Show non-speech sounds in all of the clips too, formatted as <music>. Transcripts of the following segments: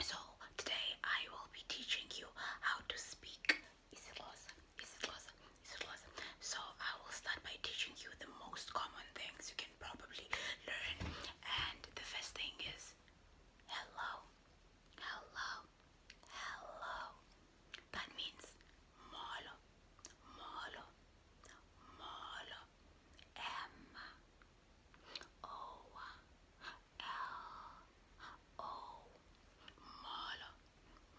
So today I will be teaching you how to speak Isilosa. Isilosa. Isilosa. So I will start by teaching you the most common things you can probably learn. And the first thing is hello. Hello. Hello. That means molo. Molo. Molo. Emma. O L O Mala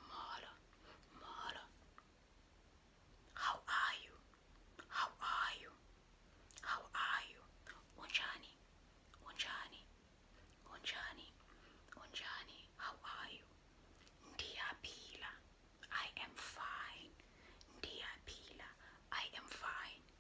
Mala Mala How are you? How are you? How are you? Unjani Unjani Unjani Unjani How are you? Ndia Pila I am fine Ndia Pila I am fine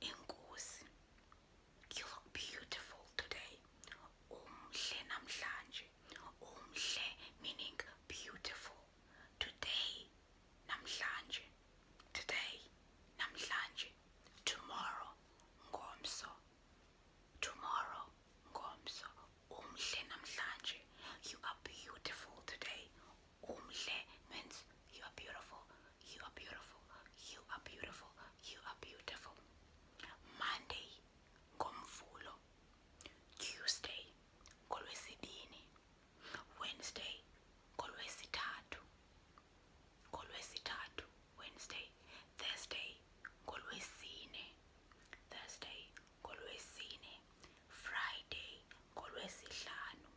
Inkosi, you look beautiful today. Umhle namhlanje. Umhle meaning beautiful. Today, namhlanje. Today, namhlanje. Tomorrow, ngomso. Tomorrow, ngomso. Umhle namhlanje. You are beautiful today. Umhle means you are beautiful. You are beautiful. You are beautiful. You are beautiful. Monday, ngomvulo. Tuesday, ngolwesibini. Wednesday, ngolwesithathu. Ngolwesithathu, Wednesday. Thursday, ngolwesine. Thursday, ngolwesine. Friday, ngolwesihlanu.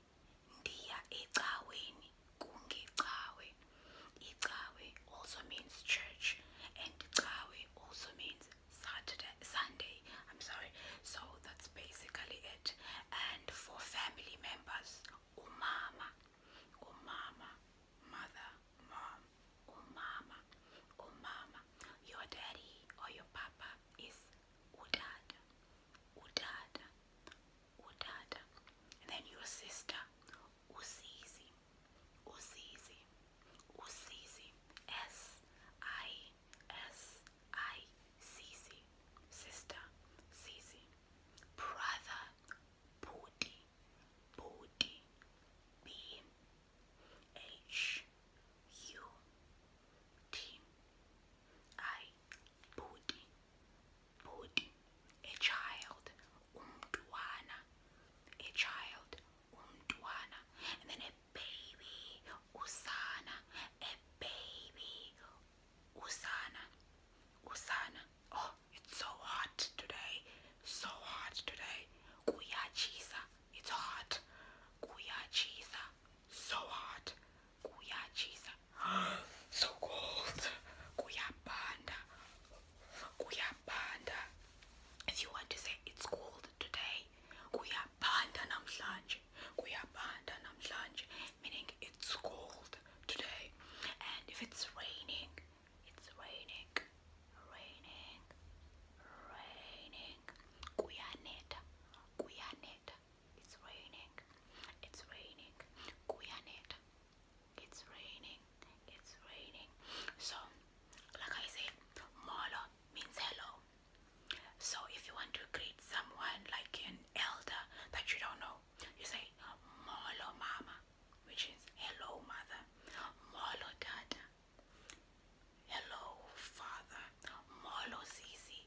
Ndiya ecaweni kungecawe. Icawe also means church and cawe also means Saturday Sunday. I'm sorry. So that's basically it. And for family members, umama, umama, mother, mom, umama, umama. Your daddy or your papa is udad, udada, utata, and then your sister, uzizi, uzizi, uzizi, s i s i c c, sister, zizi, brother, booty, booty, b h u t i booty, booty, a child, umntwana, a child, umntwana, and then a baby, usana, a baby, usana, usana. Oh, it's so hot today, so hot today. Kuyachisa, it's hot. Kuyachisa, so hot kuya chisa <gasps> so cold kuya panda kuya panda if you want to say it's cold today kuya panda namhlanje kuya panda namhlanje meaning it's cold today and if it's raining it's raining raining raining kuyaneta kuyaneta it's raining. It's raining. Kuyanet. It's raining. It's raining. So, like I said, Molo means hello. So if you want to greet someone like an elder that you don't know, you say Molo Mama, which is hello mother. Molo Dada. Hello father. Molo Sisi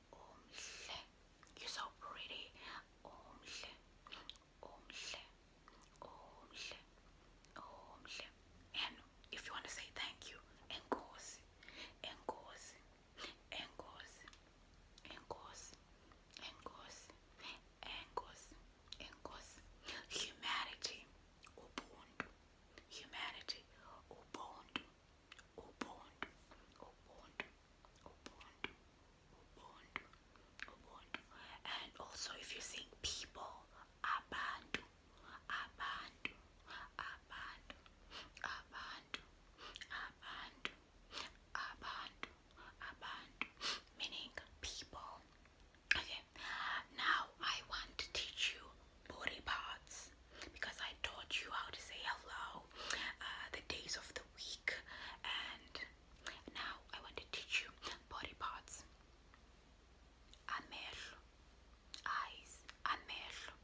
Omhle. You're so pretty. Omhle. Omhle. Omhle. Omhle. And if you want to say thank you, enkosi. Enkosi. Enkosi. Enkosi. Enkosi. Enkosi. Enkosi. Humanity. Ubuntu. Humanity. Ubuntu. And also if you think people, abantu, abantu, abantu, abantu, abantu, abantu, meaning people. Okay, now I want to teach you body parts because I taught you how to say hello, uh, the days of the week. And now I want to teach you body parts. Amehlo, eyes, amehlo,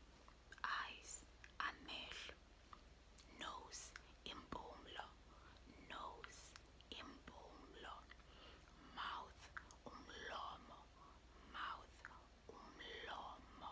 eyes, amehlo, nose, impumlo, nose, impumlo, mouth, umlomo, mouth, umlomo.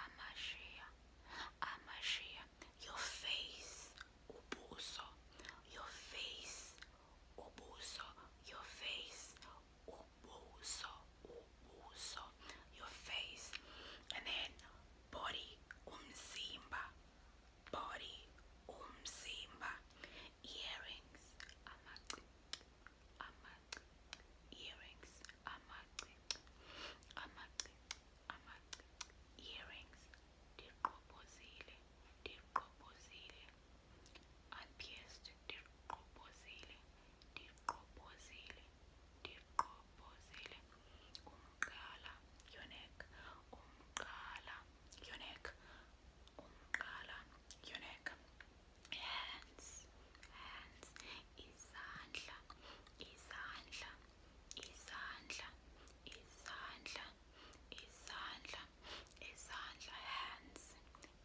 Amashia, Amashia, your face, Ubuso, your face, Ubuso, your face, Ubuso, Ubuso, your face, and then body, Umzimba, body, Umzimba, earrings, Amak, Amak, earrings, Amak, Amak earrings ndiqobozile ndiqobozile unpierced ndiqobozile ndiqobozile ndiqobozile umqala your neck umqala your neck umqala hands hands izandla izandla izandla izandla izandla izandla hands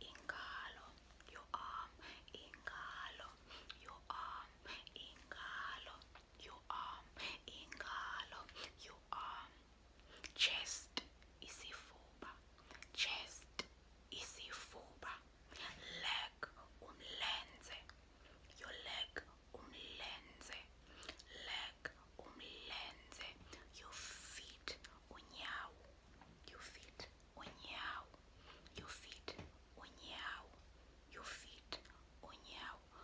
ingalo your arm ingalo your arm ingalo your arm ingalo your arm chest isifuba chest isifuba leg umlenze your leg umlenze leg umlenze your feet unyawo your feet unyawo your feet unyawo your feet unyawo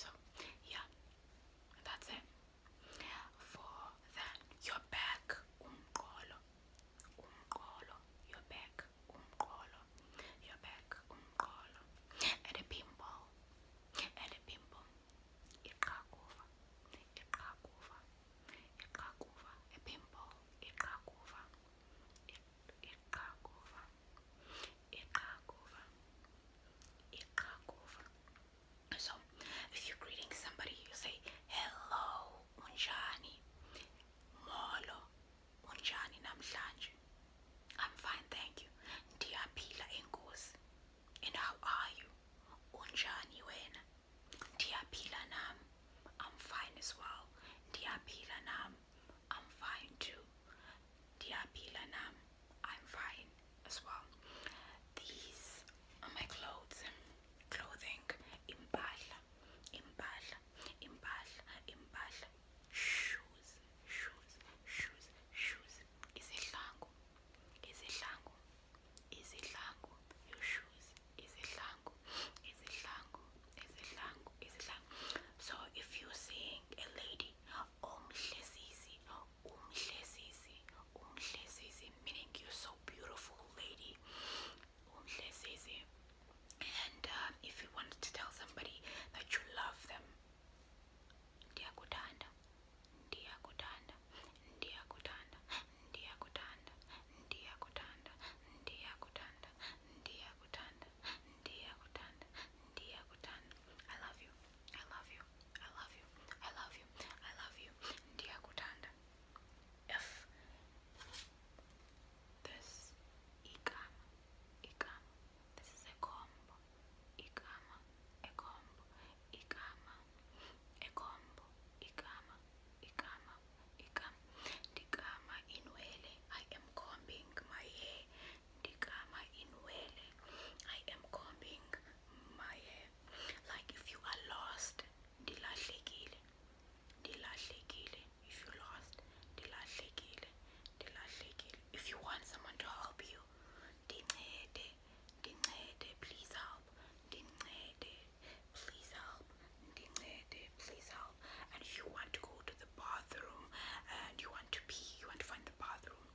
so yeah that's it for that your back umqolo umqolo your back umqolo, your back umqolo, and a pimple, and a pimple, iqhakuva, iqhakuva, iqhakuva, a pimple, iqhakuva, iqhakuva, iqhakuva, iqhakuva. So, if you're greeting somebody, you say hello unjani molo unjani namhlanje i'm fine thank you Diapila enkosi and how are you unjani wena ndiyaphila nam i'm fine as well Diapila nam i'm fine too Diapila nam i'm fine as well these are my clothes clothing impahla impahla impahla impahla impahla shoes shoes shoes shoes izihlangu izihlangu izihlangu your shoes izihlangu izihlangu izihlangu izihlangu so if you're seeing a lady umhlesisi umhlesisi umhlesisi meaning you're so beautiful lady only easy. And uh, if you want to tell somebody that you love them, ndiyakutanda, ndiyakutanda, ndiyakutanda, ndiyakutanda, ndiyakutanda, ndiyakutanda, ndiyakutanda, ndiyakutanda, ndiyakutanda. I love you. I love you. I love you. I love you. I love you. Ndiyakutanda if this igama, igama, this is a combo, igama, a combo, igama, a combo, igama, igama, igama, digama inwele. I am combing my hair. Digama inwele. I am combing my hair. Like if you are lost ndilahlekile ndilahlekile if you lost ndilahlekile ndilahlekile if you want someone to help you ndincede ndincede please help ndincede please help ndincede please help and if you want to go to the bathroom and you want to pee you want to find the bathroom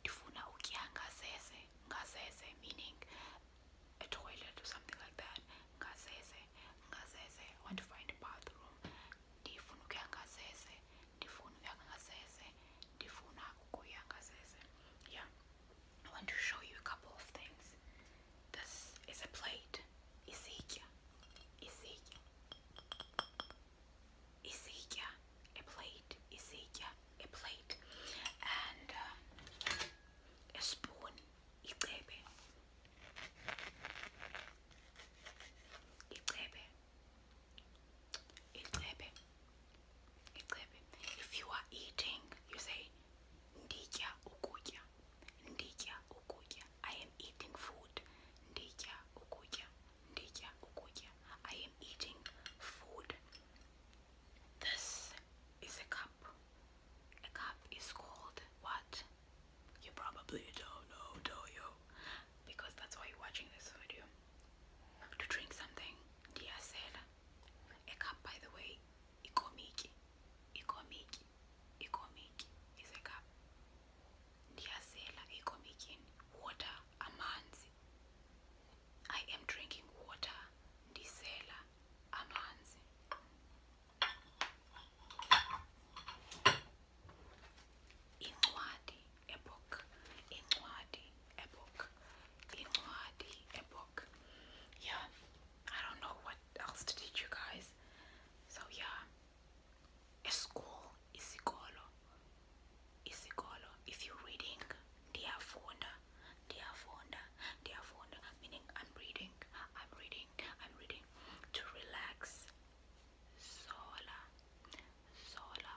ndifuna ukutya ngazeze ngazeze meaning a toilet or something like that ngazeze ngazeze i want to find a bathroom ndifuna ukuya ngazeze ndifuna ukuya ngazeze yeah i want to show you a couple of things this is a plate isitya isitya isitya a plate isitya a plate and uh, a spoon icebe icebe icebe icebe if you are eating you say nditya ukutya nditya ukutya i am eating food nditya ukutya nditya ukutya i am eating food this is a cup a cup is called what? You probably don't know, do you? Because that's why you're watching this video. To drink something, dear said. A cup, by the way, ikomiki. Ikomiki. Ikomiki is a cup. Ndiyasela ikomikini. Water, amanzi. I am drinking water. Ndisela amazi incwadi ebook incwadi ebook incwadi ebook yeah I don't know what else to teach you guys so yeah a school is isikolo if you're reading diaphonda, diaphonda, diaphonda, meaning I'm reading, I'm reading, I'm reading to relax. Sola, sola,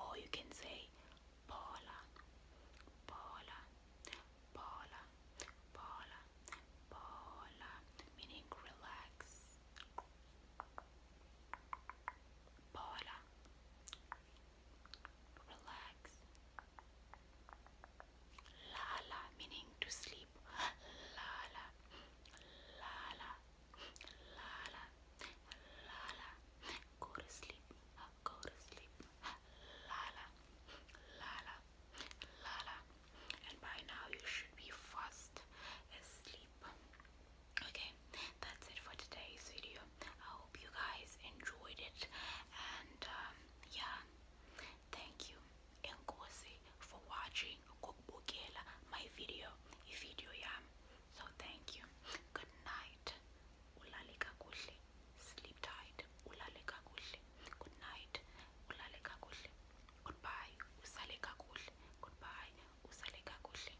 or you can say Paula, Paula, Paula, Paula, Paula, meaning relax. Paula, relax. Lala meaning to sleep. Lala, lala, lala, lala. Go to sleep. Go to sleep. Lala, lala, lala. And by now you should be fast asleep. Okay, that's it for today's video. I hope you guys enjoyed it, and um, yeah, Thank you, and Nkosi, for watching Kokbukela, my video, video yam. So thank you. Good night. Ulale kakuhle. Sleep tight. Ulale kakuhle. Good night. Ulale kakuhle. Goodbye. Usale kakuhle. Goodbye. Usale kakuhle.